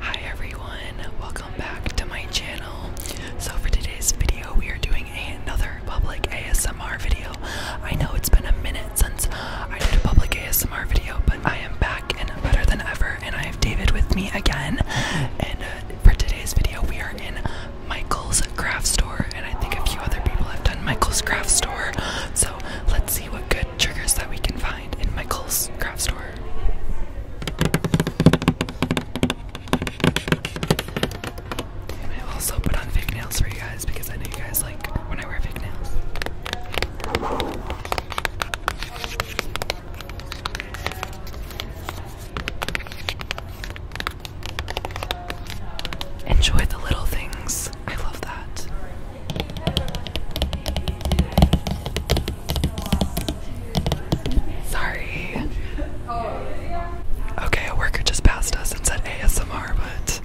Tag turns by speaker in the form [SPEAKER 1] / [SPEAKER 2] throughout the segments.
[SPEAKER 1] Hi everyone, welcome back to my channel. So for today's video, we are doing another public ASMR video. I know it's been a minute since I did a public ASMR video, but I am back and better than ever, and I have David with me again. And uh, for today's video, we are in Michael's craft store, and I think a few other people have done Michael's craft store. So let's see what good triggers that we can find in Michael's craft store. And I also put on fake nails for you guys because I know you guys like when I wear fake nails. Enjoy the little things. I love that. Sorry. Okay, a worker just passed us and said ASMR, but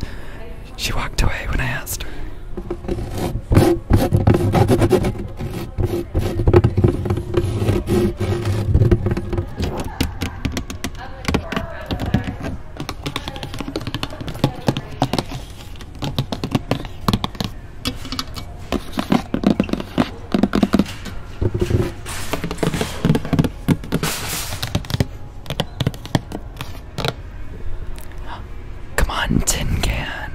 [SPEAKER 1] she walked away when I asked her. Come on, tin can.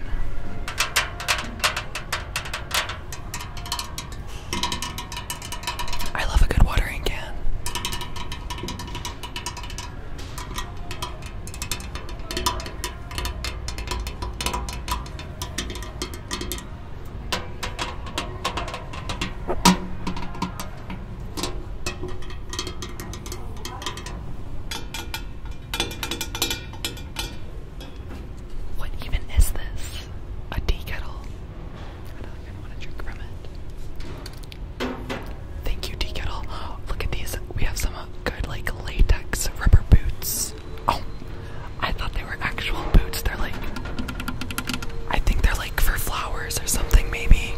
[SPEAKER 1] I love a good watering can. What even is this? A tea kettle? I don't even want to drink from it. Thank you, tea kettle. Look at these. We have some good like latex rubber boots. Oh, I thought they were actual boots. They're like, I think they're like for flowers or something maybe.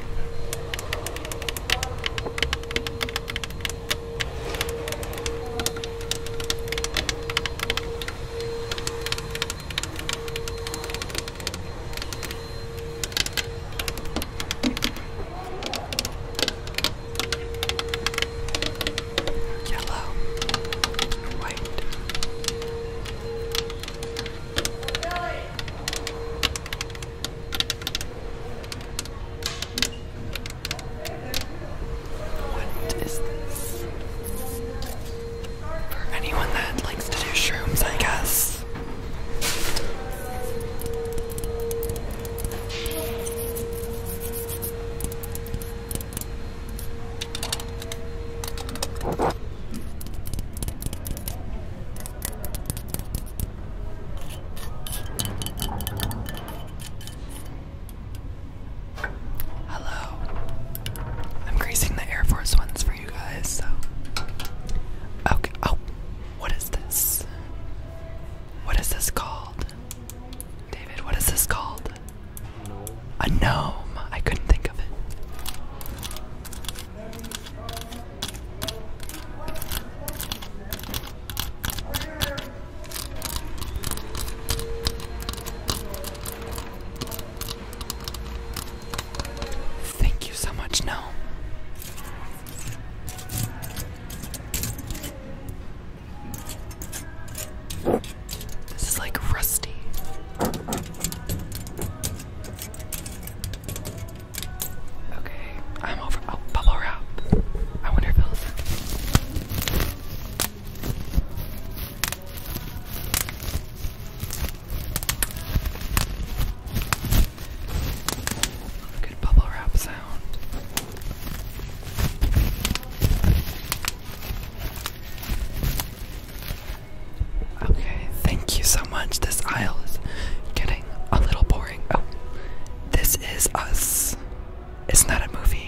[SPEAKER 1] Yellow, white. What is this? For anyone that likes to do shrooms, I guess. Hello. I'm greasing the Air Force ones for you guys, so. Okay. Oh, what is this? What is this called? David, what is this called? A gnome. I couldn't think of it. Thank you so much, gnome. This is like rusty. Okay, I'm over. Oh, bubble wrap. I wonder if it'll. Good bubble wrap sound. Okay, thank you so much. This aisle is getting a little boring. Oh, this is us. It's not a movie?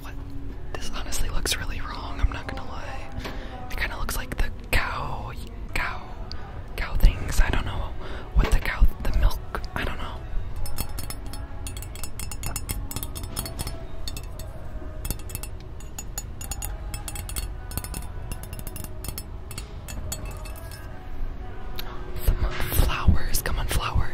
[SPEAKER 1] What? This honestly looks really wrong, I'm not gonna lie. It kinda looks like the cow cow cow things. I don't know what the cow the milk I don't know. Come flowers. Come on, flowers.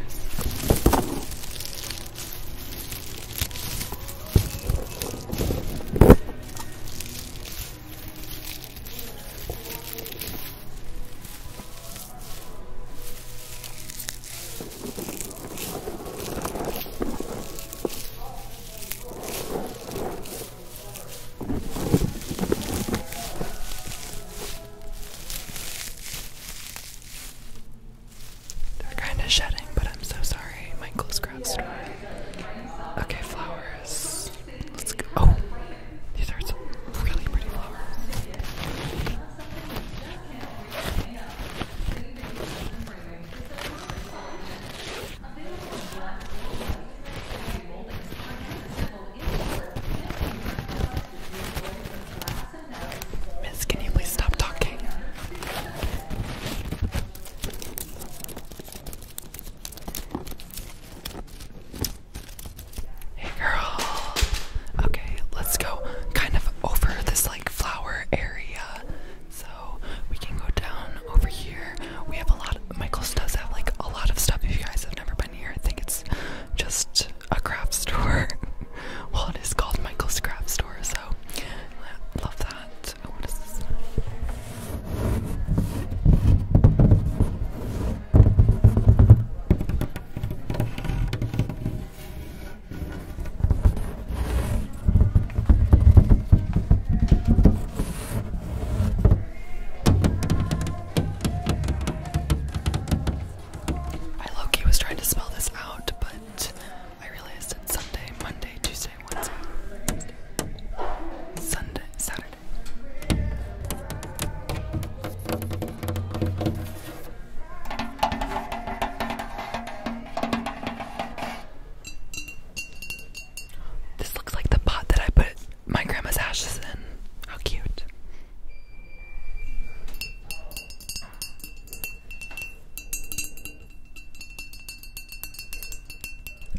[SPEAKER 1] They're kind of shedding, but I'm so sorry. Michael's craft store. Okay, flowers. Let's go. Oh, these are some really pretty flowers. Miss, can you please stop talking? Hey girl. Okay, let's go kind of over this like flower area. So so we can go down over here. We have a lot, Michael's does have like a lot of stuff. If you guys have never been here, I think it's just a craft store. well, it is called Michael's Craft Store, so love that. Oh, I low was trying to spell this out, but I realized it's Sunday, Monday, Tuesday, Wednesday, Sunday, Saturday. This looks like the pot that I put my grandma's ashes in. How cute.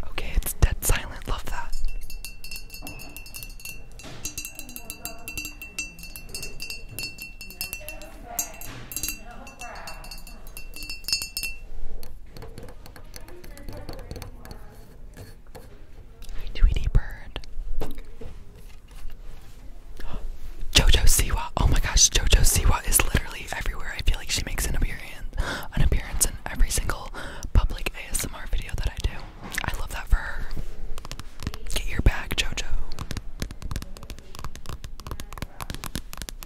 [SPEAKER 1] Okay, it's dead silent. Love that. Tweety Bird. Jojo Siwa. Oh my gosh, Jojo Siwa is literally everywhere. I feel like she makes an appearance, an appearance in every single public ASMR video that I do. I love that for her. Get your bag, Jojo. I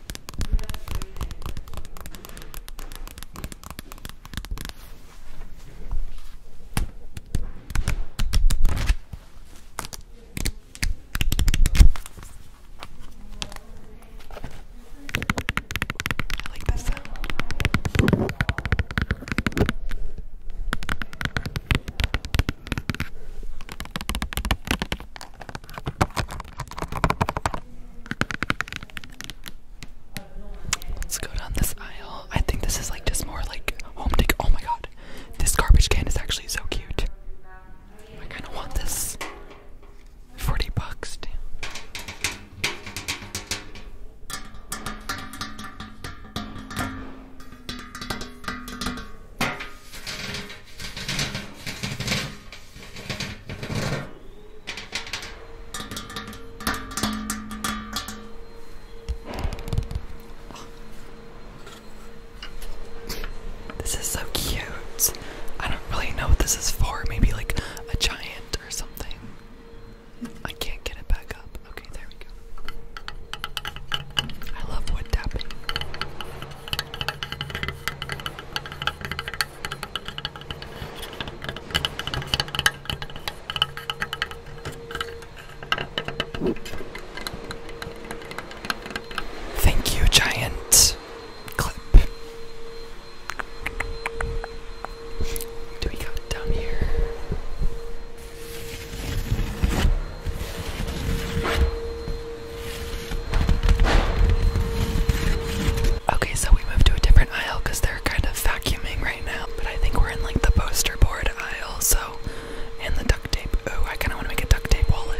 [SPEAKER 1] like this sound. Let's go down this aisle. I think this is like just more like home decor. Oh my god, this garbage can is actually so cute. I kind of want this. Forty bucks. This is so cute. I don't really know what this is for. Maybe like a giant or something. I can't get it back up. Okay, there we go. I love wood tapping. Thank you, giant clip. do we got down here? Okay, so we moved to a different aisle because they're kind of vacuuming right now, but I think we're in like the poster board aisle, so and the duct tape. Oh, I kinda wanna make a duct tape wallet.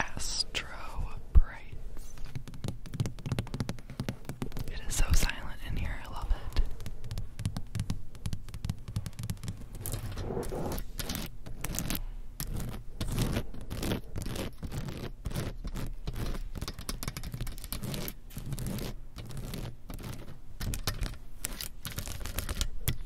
[SPEAKER 1] Astro Brights. It is so silent in here, I love it.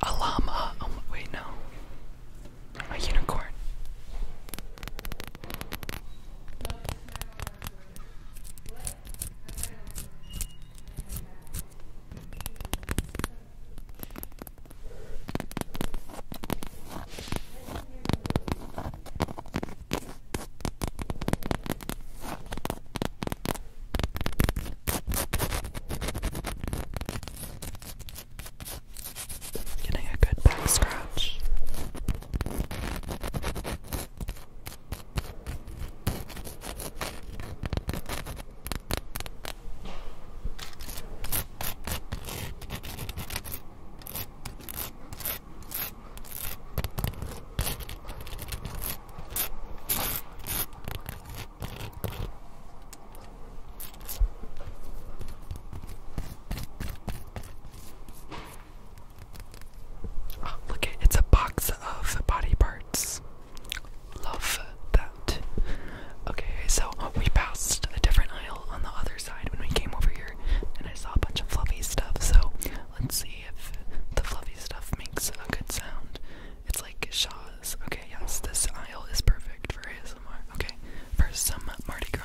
[SPEAKER 1] A llama. Oh, wait, no. A unicorn. Getting a good back scratch. Oh, look, it's a box of body parts. Love that. Okay, so we passed a different aisle on the other side when we came over here, and I saw a bunch of fluffy stuff, so let's see if the fluffy stuff makes a good sound. It's like Shaw's. Okay, yes, this aisle is perfect for ASMR. Okay, for some Mardi Gras.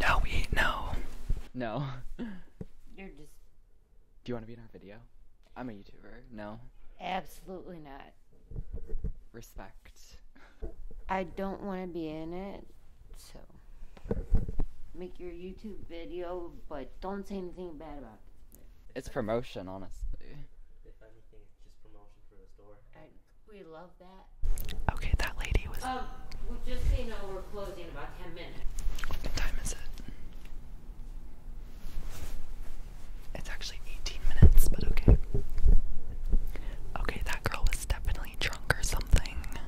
[SPEAKER 1] No, we no. No. You're just. Do you want to be in our video? I'm a YouTuber. No. Absolutely not. Respect. I don't want to be in it, so make your YouTube video, but don't say anything bad about it. It's promotion, honestly. we love that. Okay, that lady was. Um, well, just so you we're closing in about 10 minutes. What time is it? It's actually 18 minutes, but okay. Okay, that girl was definitely drunk or something.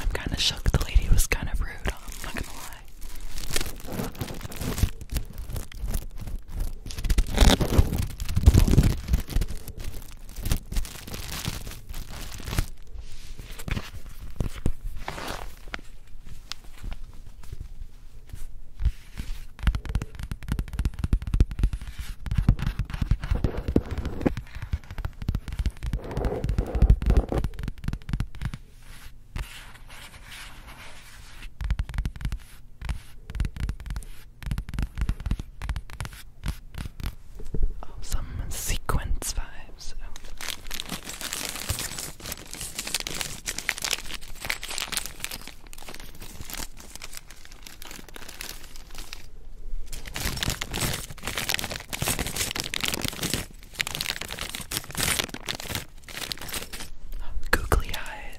[SPEAKER 1] I'm kind of shook. The lady was kind of rude. I'm not gonna lie. Some sequence vibes. Googly eyes.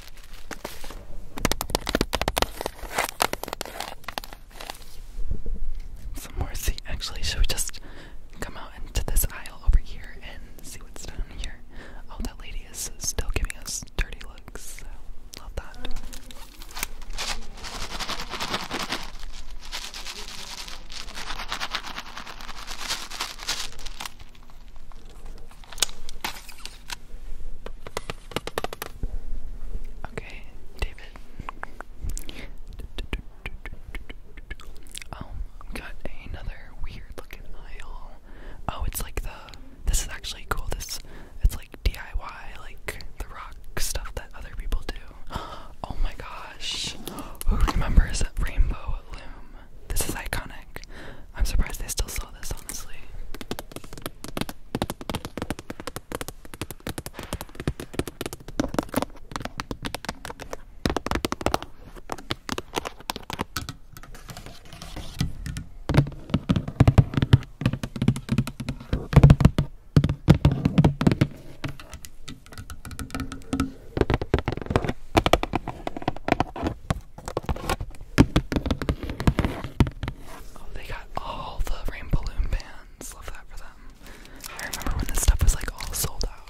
[SPEAKER 1] Some more sea. Actually, should we just come out into this aisle over here and see what's down here? Oh, that lady is still giving us dirty looks. So love that. Okay, David. Um, got another weird looking aisle. Oh, it's like the. This is actually cool. This, it's like DIY, like the rock stuff that other people do. Oh my gosh! Who remembers that rainbow loom? This is iconic. I'm surprised they still saw this, honestly. Oh, they got all the rain balloon bands. Love that for them. I remember when this stuff was like all sold out.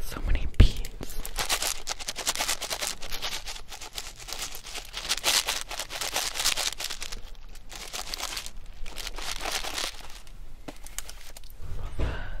[SPEAKER 1] So many beads. Love that.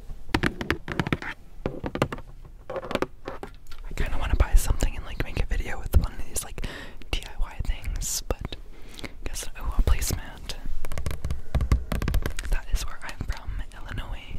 [SPEAKER 1] I kind of want to buy something and like make a video with one of these like DIY things, but guess oh a placemat. That is where I'm from, Illinois.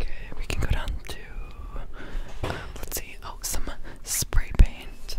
[SPEAKER 1] Okay, we can go down to um, let's see. Oh, some spray paint.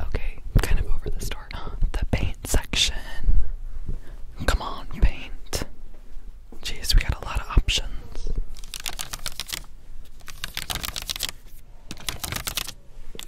[SPEAKER 1] Okay, kind of over the store. The paint section. Come on, paint. Jeez, we got a lot of options.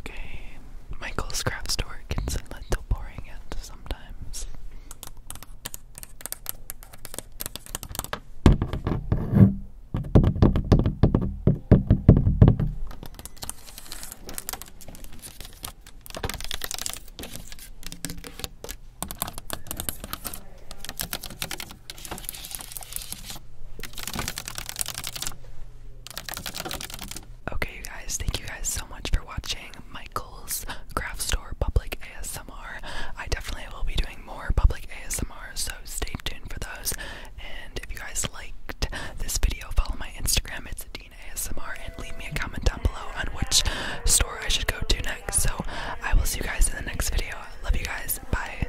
[SPEAKER 1] Okay, Michael's craft store gets a little boring at sometimes. Okay, you guys, thank you guys so much for watching Michael's Craft Store Public ASMR. I definitely will be doing more public ASMR, so stay tuned for those. And if you guys liked this video, follow my Instagram, it's Dean ASMR, and leave me a comment down below on which store I should go to next. So I will see you guys in the next video. Love you guys. Bye.